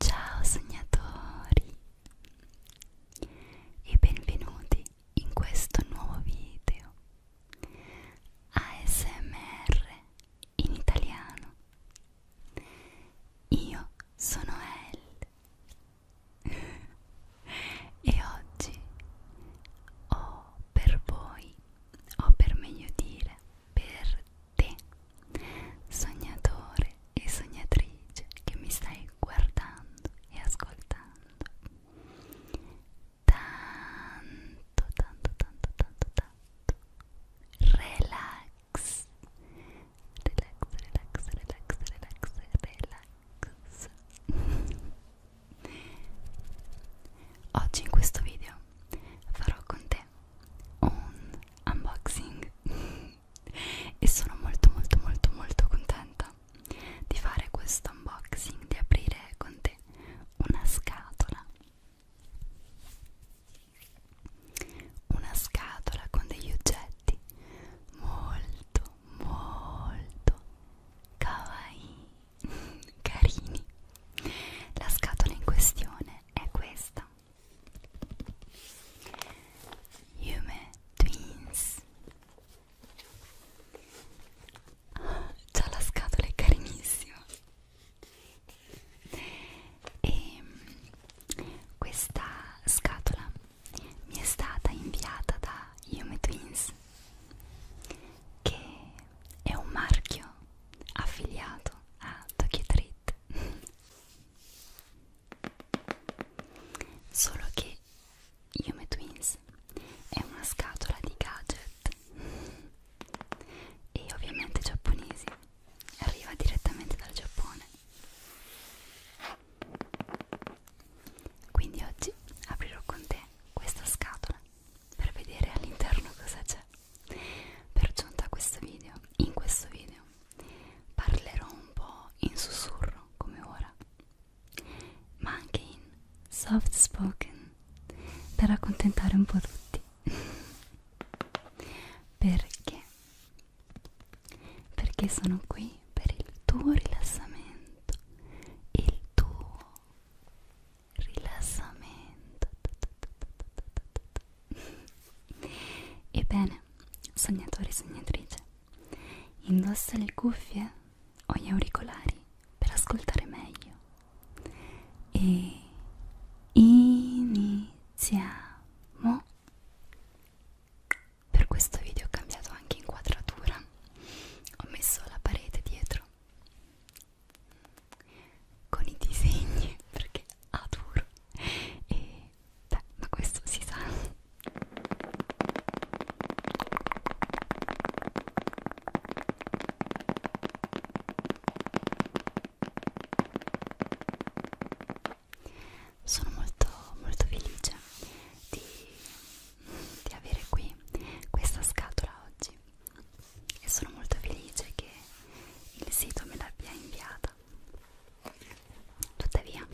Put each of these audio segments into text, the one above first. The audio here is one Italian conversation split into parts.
Ciao sognatori e benvenuti in questo nuovo video ASMR in italiano io sono Elle e oggi ho per voi, o per meglio dire per te, sognatore e sognatrice che mi stai guardando e ascoltando, tanto, tanto, tanto, tanto, tanto relax relax relax relax relax relax relax oggi in questo video farò con te un unboxing e sono molto molto molto molto contenta di fare questo unboxing di aprire con te una scatola una scatola con degli oggetti molto molto kawaii carini la scatola in questione è questa Yume Twins ah, già la scatola è carinissima e questa scatola mi è stata inviata da Yume Twins che è un marchio affiliato a Tokyo Treat solo che Yume Twins è una scatola di gadget e ovviamente giapponesi arriva direttamente dal Giappone. Quindi oggi aprirò con te questa scatola per vedere all'interno cosa c'è. Per giunta a questo video, in questo video parlerò un po' in sussurro come ora, ma anche in soft spoken per accontentare un po' tutti perché perché sono qui per il tuo rilassamento il tuo rilassamento ebbene sognatore sognatrice indossa le cuffie o gli auricolari per ascoltare meglio e iniziamo per questo video ho cambiato anche inquadratura ho messo la parete dietro con i disegni perché adoro e beh ma questo si sa sono molto, molto felice di, di avere qui questa scatola oggi e sono molto felice che il sito me l'abbia inviata. Tuttavia,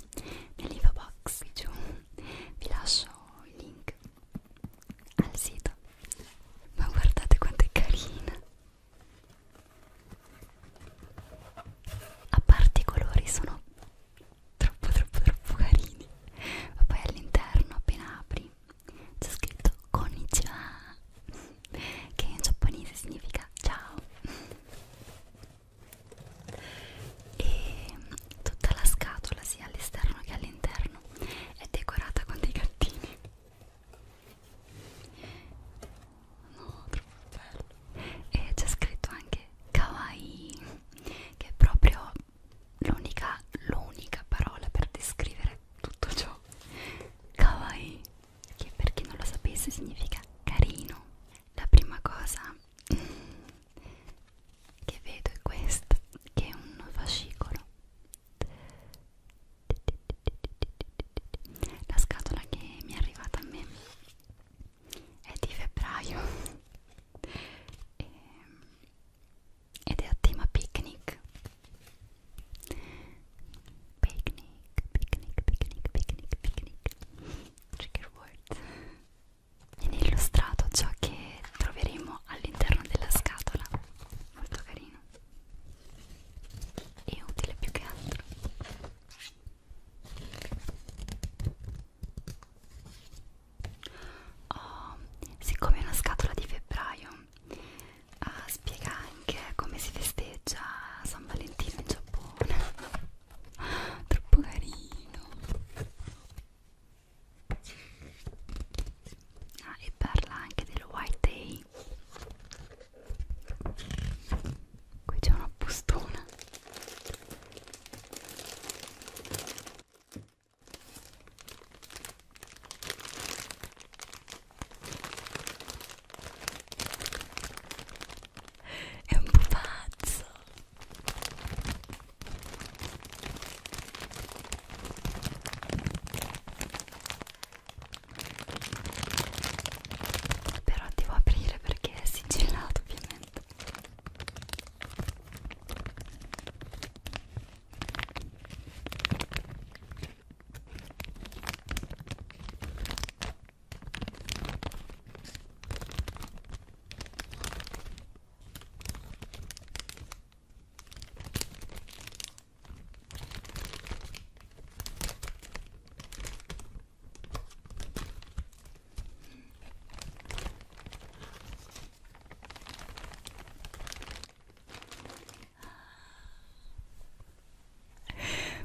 nell'info box qui giù vi lascio il link al sito. Ma guardate quanto è carina! a parte i colori sono troppo troppo troppo carini ma poi all'interno appena apri c'è scritto konnichiwa che in giapponese significa ciao e tutta la scatola sia all'esterno che all'interno è decorata con dei gattini No, troppo bello. E c'è scritto anche kawaii, che è proprio l'unica, l'unica parola per descrivere tutto ciò. Kawaii, che per chi non lo sapesse significa carino. La prima cosa che vedo è questa, che è un fascicolo la scatola che mi è arrivata a me è di febbraio e, ehm, ed è a tema picnic. Picnic, picnic, picnic, picnic, picnic. Trigger word. Viene illustrato ciò che troveremo all'interno della scatola. Molto carino è utile più che altro oh, siccome è una scatola di febbraio uh, spiega anche come si festeggia San Valentino in Giappone troppo carino Ah, e parla anche del White Day. Qui c'è una bustona. È un pupazzo però devo aprire perché è sigillato ovviamente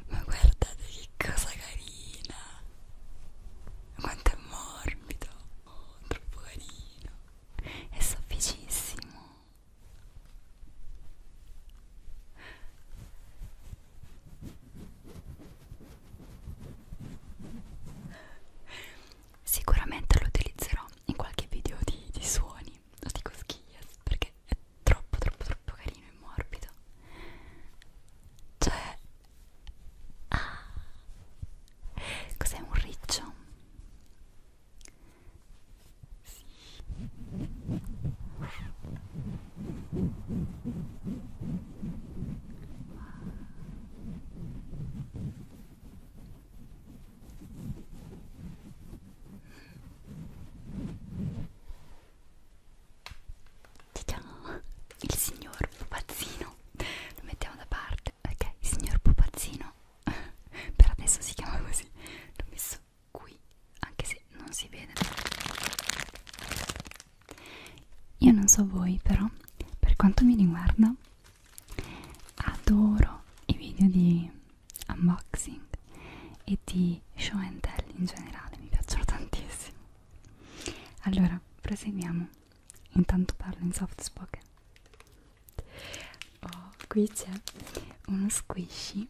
ma guardate che cosa carina! Quanto è morbido! Oh, troppo carino! è sofficissimo sicuramente lo utilizzerò in qualche video di, di suoni o di coschias perché è troppo troppo troppo carino e morbido cioè ah, cos'è un riccio sì. Ciao, il signor pupazzino, lo mettiamo da parte ok, signor pupazzino per adesso si chiama così l'ho messo qui anche se non si vede io non so voi però per quanto mi riguarda adoro i video di unboxing e di show and tell in generale mi piacciono tantissimo allora proseguiamo intanto parlo in soft spoken oh, qui c'è uno squishy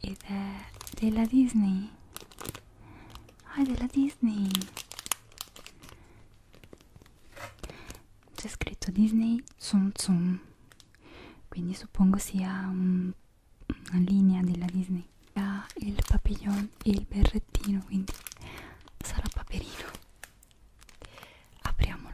ed è della Disney ah oh, è della Disney c'è scritto Disney Tsum Tsum quindi suppongo sia un una linea della Disney ha il papillon e il berrettino quindi sarà paperino apriamolo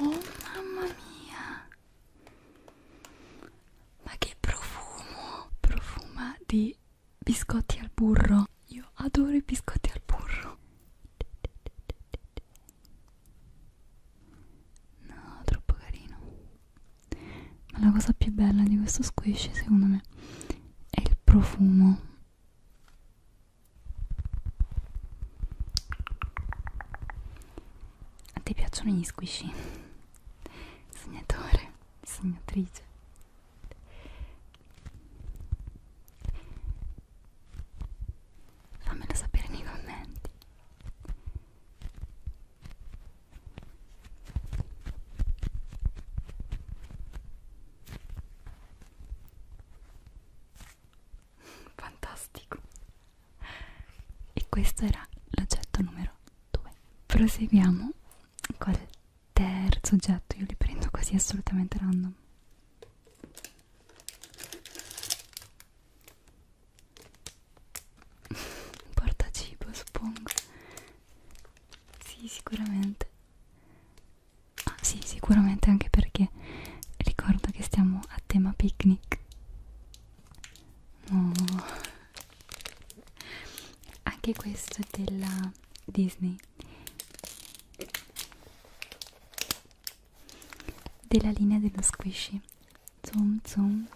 Oh mamma mia! Ma che profumo! Profuma di biscotti al burro. Io adoro i biscotti al burro. No, troppo carino. Ma la cosa più bella di questo squish, secondo me, è il profumo a te piacciono gli squishy? Segnatore, segnatrice. Fammelo sapere nei commenti fantastico e questo era l'oggetto numero 2 proseguiamo col terzo oggetto io li prendo così assolutamente random portacibo suppongo sì sicuramente Ah sì, sicuramente anche perché ricordo che stiamo a tema picnic. No. Anche questo è della Disney. Della linea dello squishy. Zoom zoom.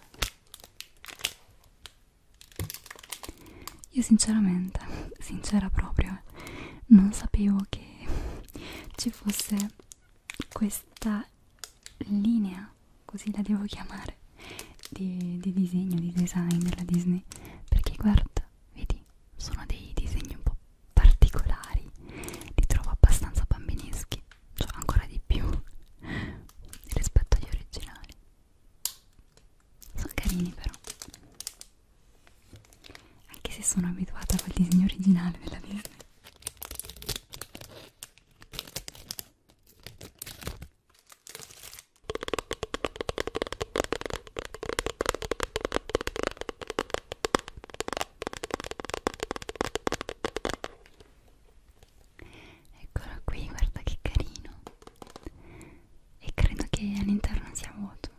Io sinceramente, sincera proprio, non sapevo che ci fosse questa linea, così la devo chiamare, di, di disegno, di design della Disney. Perché guarda, vedi, sono dei disegni un po' particolari, li trovo abbastanza bambineschi, cioè ancora di più rispetto agli originali. Sono carini però anche se sono abituata al disegno originale della Disney Eccolo qui, guarda che carino. E credo che all'interno sia vuoto.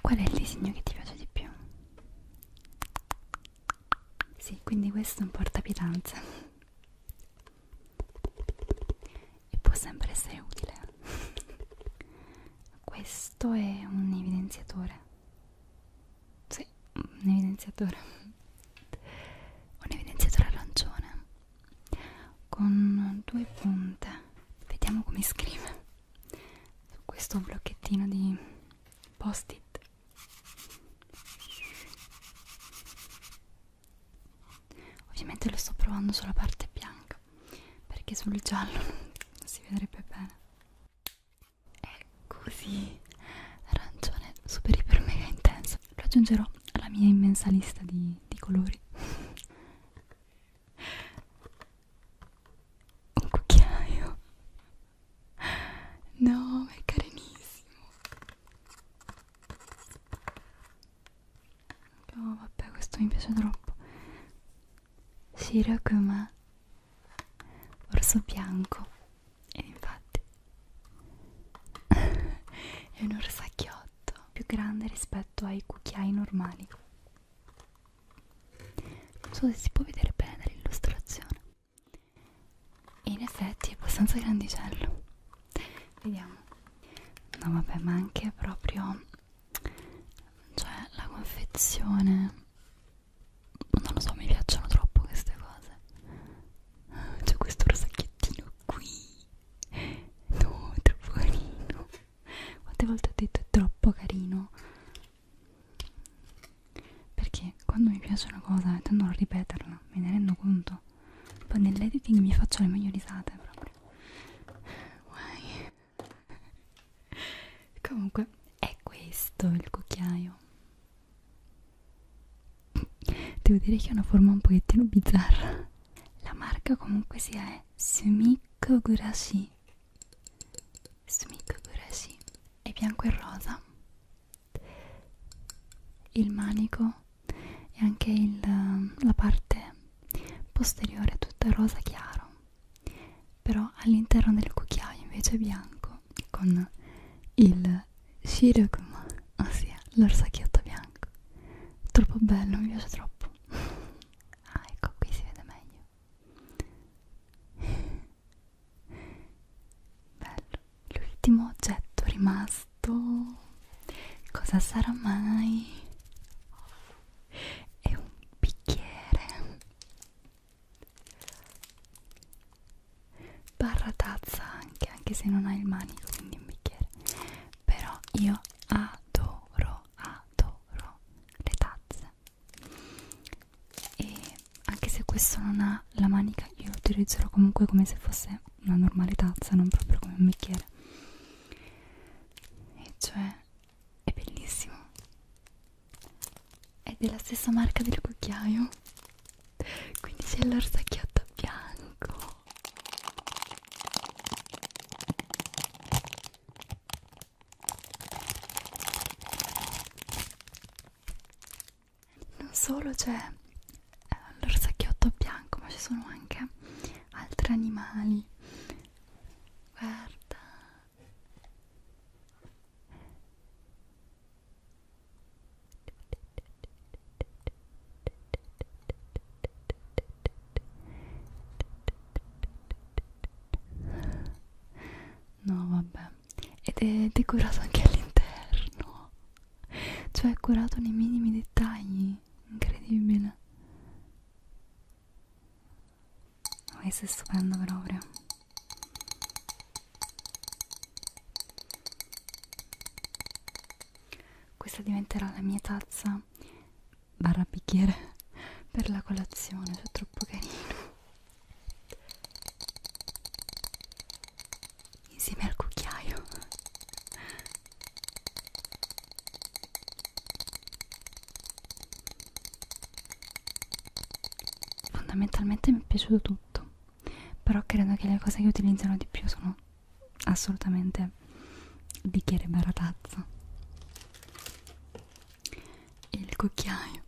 Qual è il disegno che ti piace di più? Sì, quindi questo è un portapitanza e può sempre essere utile. Questo è un evidenziatore. Sì, un evidenziatore. Un evidenziatore arancione con due punte vediamo come scrive su questo blocchettino di post it ovviamente lo sto provando sulla parte bianca perché sul giallo non si vedrebbe bene è così arancione super iper mega intenso lo aggiungerò alla mia immensa lista di, di colori. Un cucchiaio. No, ma è carinissimo. Oh, vabbè, questo mi piace troppo. Shirakuma Orso bianco. E infatti è un orsacchiotto più grande rispetto ai cucchiai normali non so se si può vedere bene l'illustrazione e in effetti è abbastanza grandicello vediamo no vabbè ma anche proprio cioè la confezione non lo so mi piacciono troppo queste cose c'è questo rosacchiettino qui no, troppo carino quante volte ho detto è troppo carino perché quando mi piace una cosa e tendo a ripeterla me ne rendo conto poi nell'editing mi faccio le meglio risate proprio Guai. comunque è questo il cucchiaio devo dire che ha una forma un pochettino bizzarra la marca comunque sia è Sumikogurashi Sumikogurashi è bianco e rosa il manico e anche il, la parte posteriore è tutta rosa chiaro però all'interno del cucchiaio invece è bianco con il Shirokuma, ossia l'orsacchiotto bianco. Troppo bello, mi piace troppo. ah, ecco, qui si vede meglio. bello. L'ultimo oggetto rimasto, cosa sarà mai? È un bicchiere barra tazza anche anche se non hai il manico quindi un bicchiere però io adoro adoro le tazze e anche se questo non ha la manica io lo utilizzerò comunque come se fosse una normale tazza non proprio come un bicchiere e cioè è bellissimo è della stessa marca del cucchiaio quindi c'è l'orsacchiotto bianco non solo c'è eh, l'orsacchiotto bianco ma ci sono anche altri animali guarda No, vabbè. Ed è decorato anche all'interno. Cioè, è curato nei minimi dettagli. Incredibile. Questo è stupendo proprio. Questa diventerà la mia tazza barra bicchiere per la colazione, è troppo carino. Insieme al cucchiaio. Fondamentalmente mi è piaciuto tutto però credo che le cose che utilizzano di più sono assolutamente bicchiere baratazza il cucchiaio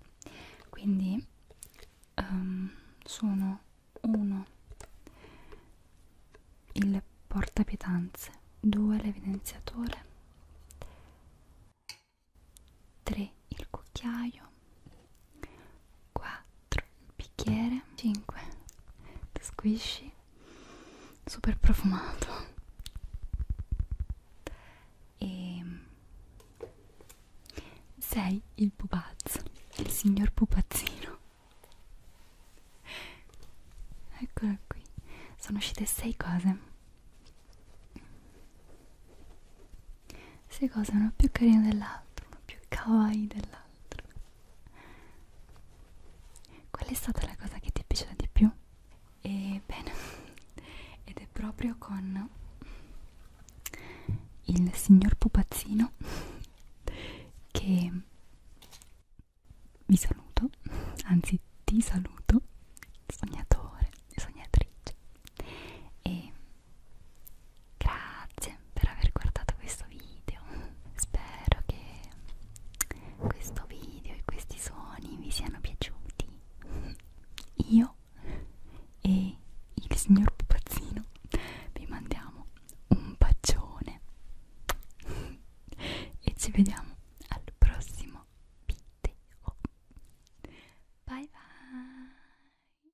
quindi um, sono uno il portapietanze 2 l'evidenziatore 3 il cucchiaio 4 4 bicchiere 5 squishy super profumato e 6 il pupazzo il signor pupazzino eccola qui sono uscite 6 cose 6 cose una più carina dell'altra una più kawaii dell'altra altro qual è stata la cosa che ti è piaciuta di più? e bene ed è proprio con il signor pupazzino che vi saluto anzi ti saluto sognatore sognatrice e Grazie per aver guardato questo video. Spero che questo video e questi suoni vi siano piaciuti. Io e il signor Pupazzino vi mandiamo un bacione e ci vediamo al prossimo video. Bye bye.